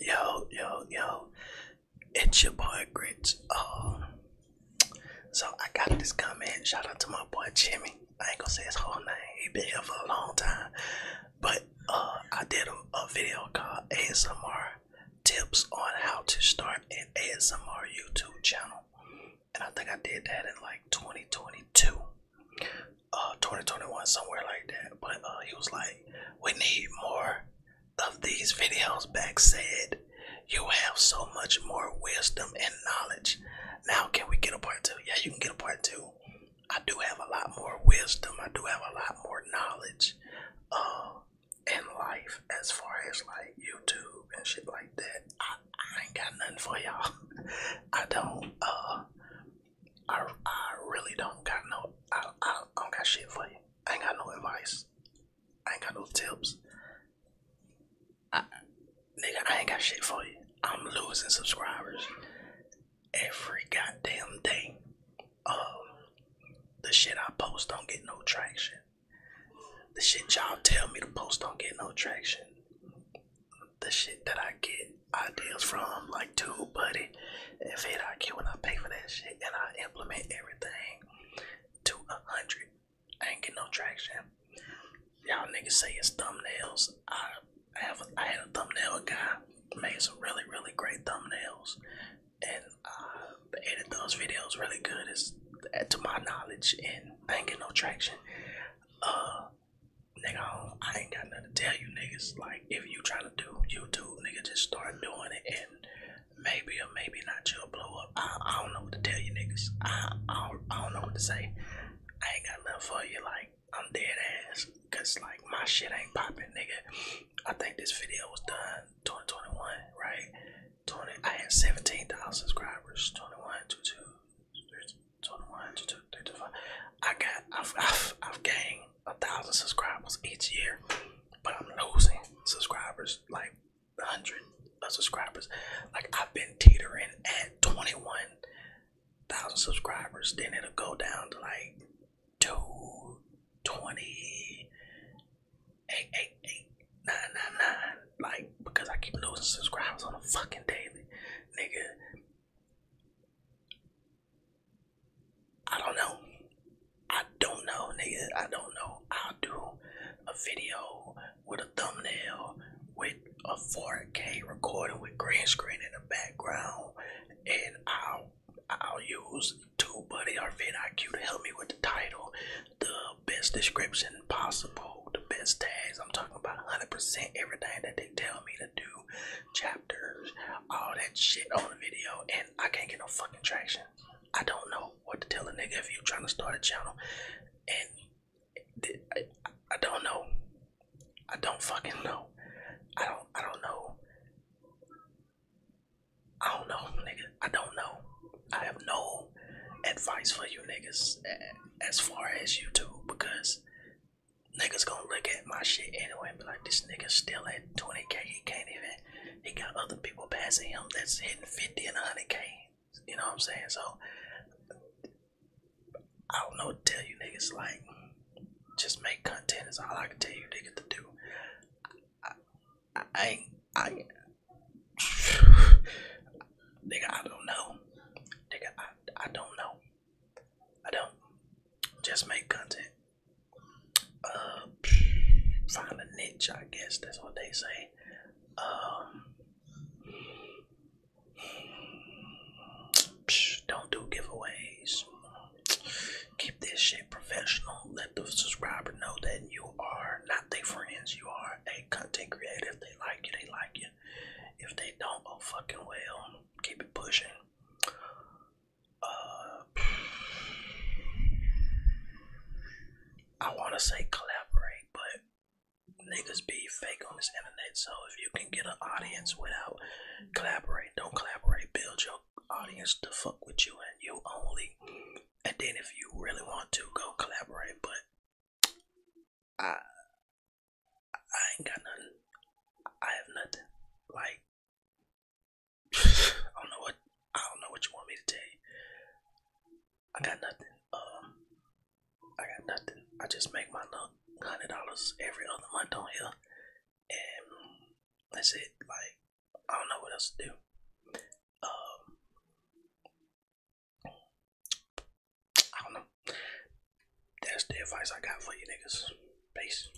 Yo, yo, yo, it's your boy Grits. Oh. so I got this comment. Shout out to my boy Jimmy. I ain't gonna say his whole name, he been here for a long time. But uh, I did a, video called ASMR Tips on How to Start an ASMR YouTube channel, and I think I did that in like 2022, uh, 2021, somewhere like that. But uh, he was like, we need more of these videos back said you have so much more wisdom and knowledge now can we get a part two yeah you can get a part two i do have a lot more wisdom i do have a lot more knowledge uh in life as far as like youtube and shit like that i, ain't got nothing for y'all i don't uh, I, I really don't got no, I, I, don't got shit for you. I ain't got no advice. I ain't got no tips. I, nigga, I ain't got shit for you. I'm losing subscribers every goddamn day. Um, the shit I post don't get no traction. The shit y'all tell me to post don't get no traction. The shit that I get ideas from, like two food buddy and I IQ when I pay for that shit and I implement everything to a hundred. I ain't get no traction. Y'all niggas say it's thumbnails. I have a, I had a thumbnail guy made some really really great thumbnails and I uh, edit those videos really good as to my knowledge and ain't get no traction. Uh nigga I, ain't got no tell you niggas. Like if you try to do YouTube, nigga, just start doing it and maybe or maybe not you'll blow up. I, don't know what to tell you niggas. I, I, don't, know what to say. I ain't got nothing for you. Like I'm dead ass. Cause like my shit ain't popping, nigga. I think this video was done 2021, right? 20. I had 17,000 subscribers. 21, 22, 21, 22, 35. I got. I've, I've gained a thousand subscribers each year, but I'm losing subscribers like a hundred subscribers. Like I've been teetering at 21,000 subscribers, then it'll go down to like 220, 888, Like because I keep losing subscribers on a fucking daily, nigga. I don't know. I don't know, nigga. I don't know. I'll do a video with a thumbnail with a 4K recording with green screen in the background, and I'll I'll use TubeBuddy or VidIQ to help me with the title, the best description possible, the best tags. I'm talking about 100% everything that they tell me to do, chapters, all that shit on the video, and I can't get no fucking traction. I don't know what to tell a nigga if you're trying to start a channel, and I, I don't know. I don't fucking know. I don't. I don't know. I don't know, nigga. I don't know. I have no advice for you niggas as far as YouTube because niggas gonna look at my shit anyway and be like, this nigga still 20k. He can't even, he got other people passing him that's hitting 50 and 100k. You know what I'm saying? So, I don't know what to tell you niggas. Like, just make content is all I can tell you nigga, to do. I, I, ain't, I ain't. Nigga, I don't know. Nigga, I, I don't know. I don't. Just make content. Uh, find a niche, I guess that's what they say. Um, don't do giveaways. Keep this shit professional. Let the subscriber know that you are not their friends. You are a content creator. If they like you, they like you. If they don't, go oh, fucking well. Keep it pushing uh, I want to say collaborate, but niggas be fake on this internet. So if you can get an audience without collaborate, don't collaborate. Build your audience to fuck with you and you only. And then if you really want to, go collaborate. But I, I ain't got nothing. I have nothing. Like I don't know what I don't know what you want me to tell you. I got nothing. Um, I got nothing. I just make my hundred dollars every other month on here, and that's it. Like I don't know what else to do. Um, I don't know. That's the advice I got for you niggas. Peace.